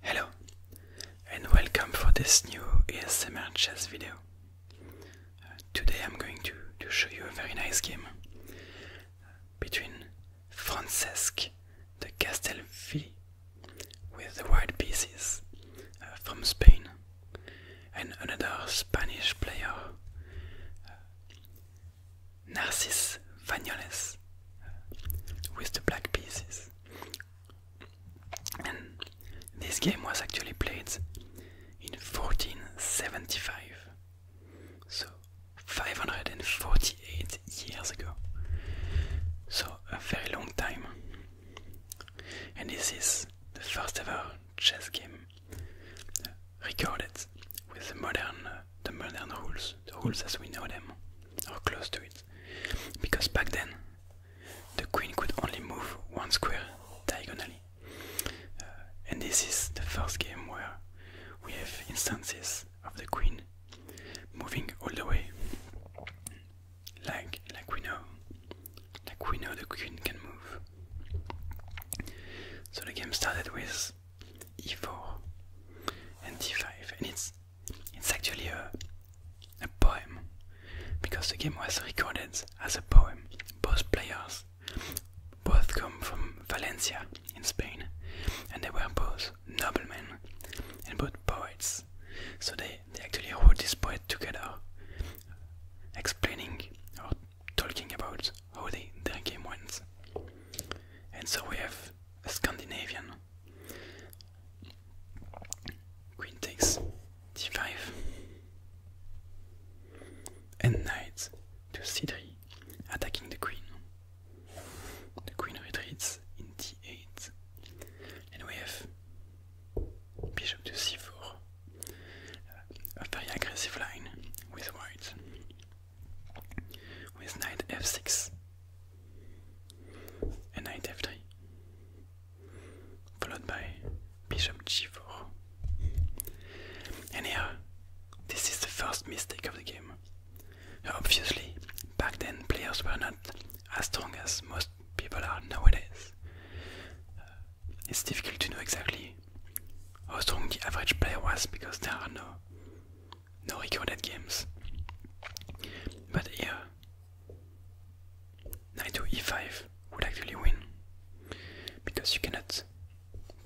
Hello and welcome for this new ASMR chess video. Uh, today I'm going to, to show you a very nice game uh, between Francesc de Castelvi with the white pieces uh, from Spain and another Spanish player, Narcis Vanyoles, with the black pieces this game was actually played in 1475, so 548 years ago. So, a very long time. And this is the first ever chess game uh, recorded with the modern, uh, the modern rules, the rules as we know them, or close to it. Because back then, the queen could only move one square diagonally. Uh, and this is the first game where we have instances of the queen moving all the way. Like like we know. Like we know the queen can move. So the game started with e4 and d5 and it's it's actually a, a poem because the game was recorded as a poem. Both players both come from Valencia in Spain and they were both noblemen and both poets. So they, they actually wrote this poem together explaining or talking about how they, their game went. And so we have a Scandinavian Queen takes d5 and knight to c3, attacking the queen. The queen retreats in d8, and we have bishop to c4, a very aggressive line with white, with knight f6 a knight 3 followed by bishop g4. And this is the first mistake of the game. Obviously, back then players were not as strong as most people are nowadays. Uh, it's difficult to know exactly how strong the average player was because there are no no recorded games. But here, knight to e5 would actually win because you cannot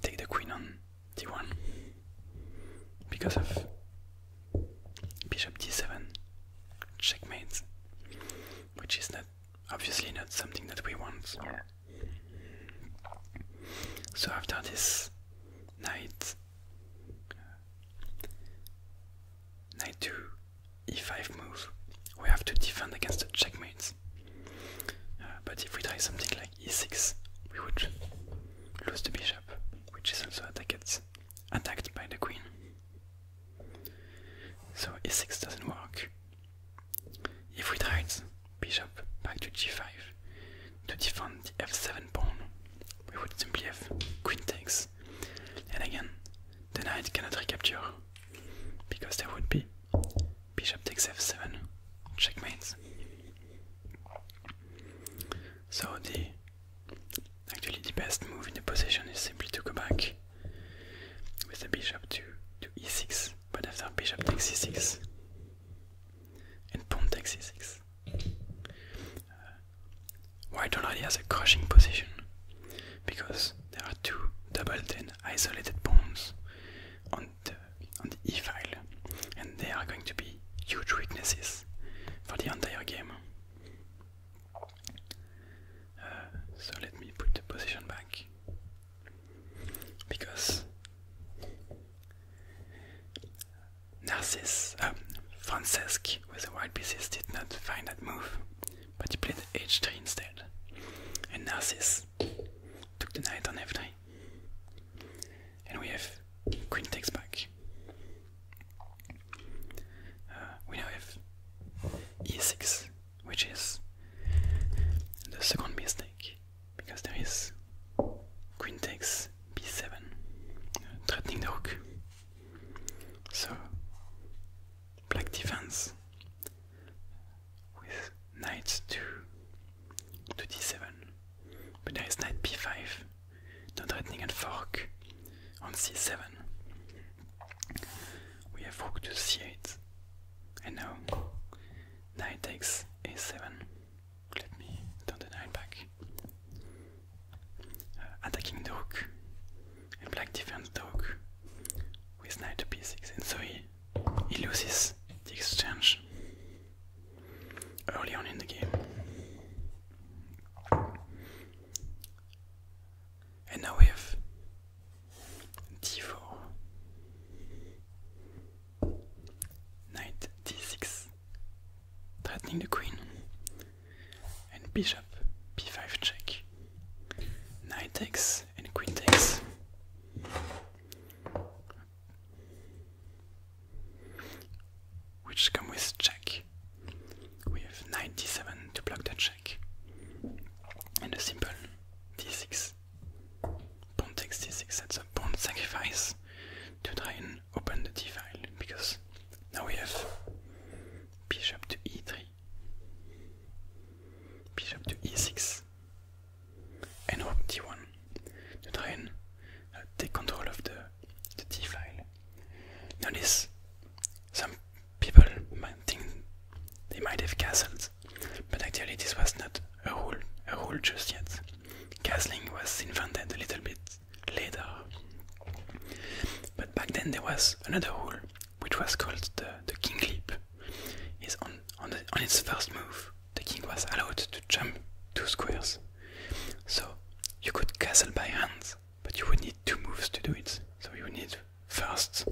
take the queen on d1 because of bishop d7 checkmate, which is not obviously not something that we want. So after this knight Knight 2, e5 move. We have to defend against the checkmate. Uh, but if we try something like e6, we would lose the bishop, which is also attacked, by the queen. So e6 doesn't work. If we try bishop back to g5 to defend the f7 pawn, we would simply have queen takes. And again, the knight cannot recapture because there would be bishop takes f7, checkmate. So the actually the best move in the position is simply to go back with the bishop to e6, but after bishop takes e6 and pawn takes e6 is uh, white already has a crushing position because there are two doubled and isolated pawns on the on the e file, and they are going to be huge weaknesses for the entire game. Uh, so let me put the position back because Narcisse, um, Francesc with the white pieces did not find that move, but he played h3 instead, and Narcisse took the knight on f3, and we have queen takes back. Uh, we now have e6, which is the second mistake, because there is queen takes b7, threatening the rook. So, black defense with knight to, to d7, but there is knight b5, no threatening and fork on c7. We have rook to c8, and now knight takes a7. Let me turn the knight back attacking dog and black defense dog with knight to b6 and so he, he loses the exchange early on in the game and now we have d4 knight d6 threatening the queen. And bishop b5 check. Knight takes and queen takes. Which come with check. We have knight d7 to block the check. And a simple d6. Pawn takes d6, that's a pawn sacrifice to try and open the d file because now we have bishop to e3, bishop to e6, and rook d1 to try take control of the, the d file. Notice some people might think they might have castled, but actually this was not a rule, a rule just yet. Castling was invented a little bit later. But back then there was another rule, which was called the, king leap. Is on on, its first move, the king was allowed to jump two squares. So you could castle by hand, but you would need two moves to do it. So you need first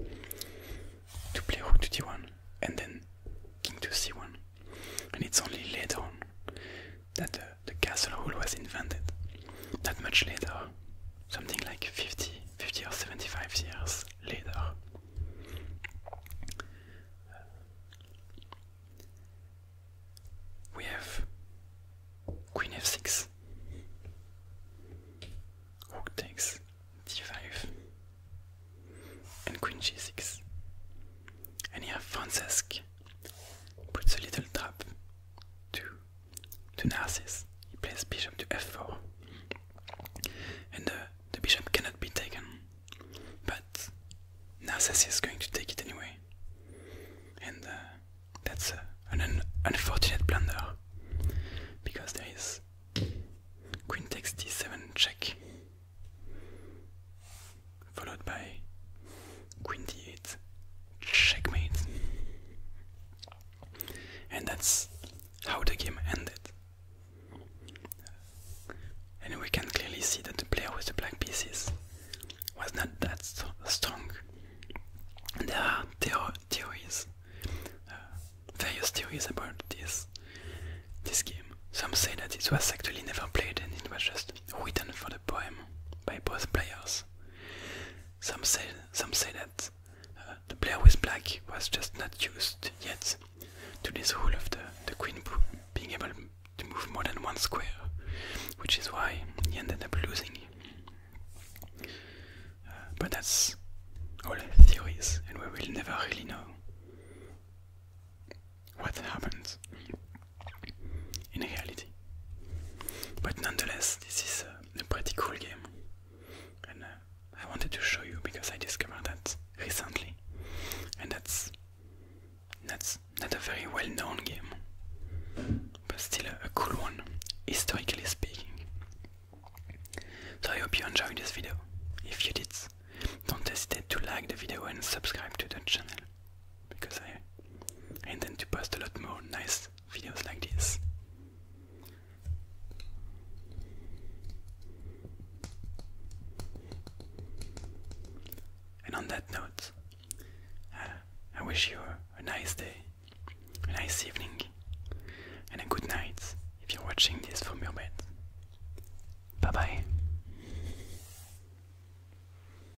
to play rook to d1 and then king to c1. And it's only later on that uh, the castle rule was invented. that much later, something like 50, 50 or 75 years later. We have Queen f6. Rook takes d5 and Queen g6. And you have Francesc puts a little trap to to Narcissus. He plays bishop to f4, and the, bishop cannot be taken. But Narcissus is going to take it anyway, and uh, that's an unfortunate blunder because there is queen takes d7 check followed by queen d8, checkmate. And that's how the game ended. And we can clearly see that the player with the black pieces was not that strong. There are theories, uh, various theories about this this game. Some say that it was actually never played and it was just written for the poem by both players. Some say, some say that uh, the player with Black was just not used yet to this rule of the, the Queen being able to move more than one square, which is why he ended up losing. Uh, but that's all theories, and we will never really know what happened in reality. But nonetheless, this is uh, a, pretty cool game, and uh, I wanted to show you because I discovered that recently, and that's that's not a very well-known game, but still a cool one, historically speaking. So I hope you enjoyed this video. If you did, don't hesitate to like the video and subscribe to the channel because I intend to post a lot more nice videos like this. And on that note, uh, I wish you a nice day, a nice evening, and a good night if you're watching this from your bed. Bye bye.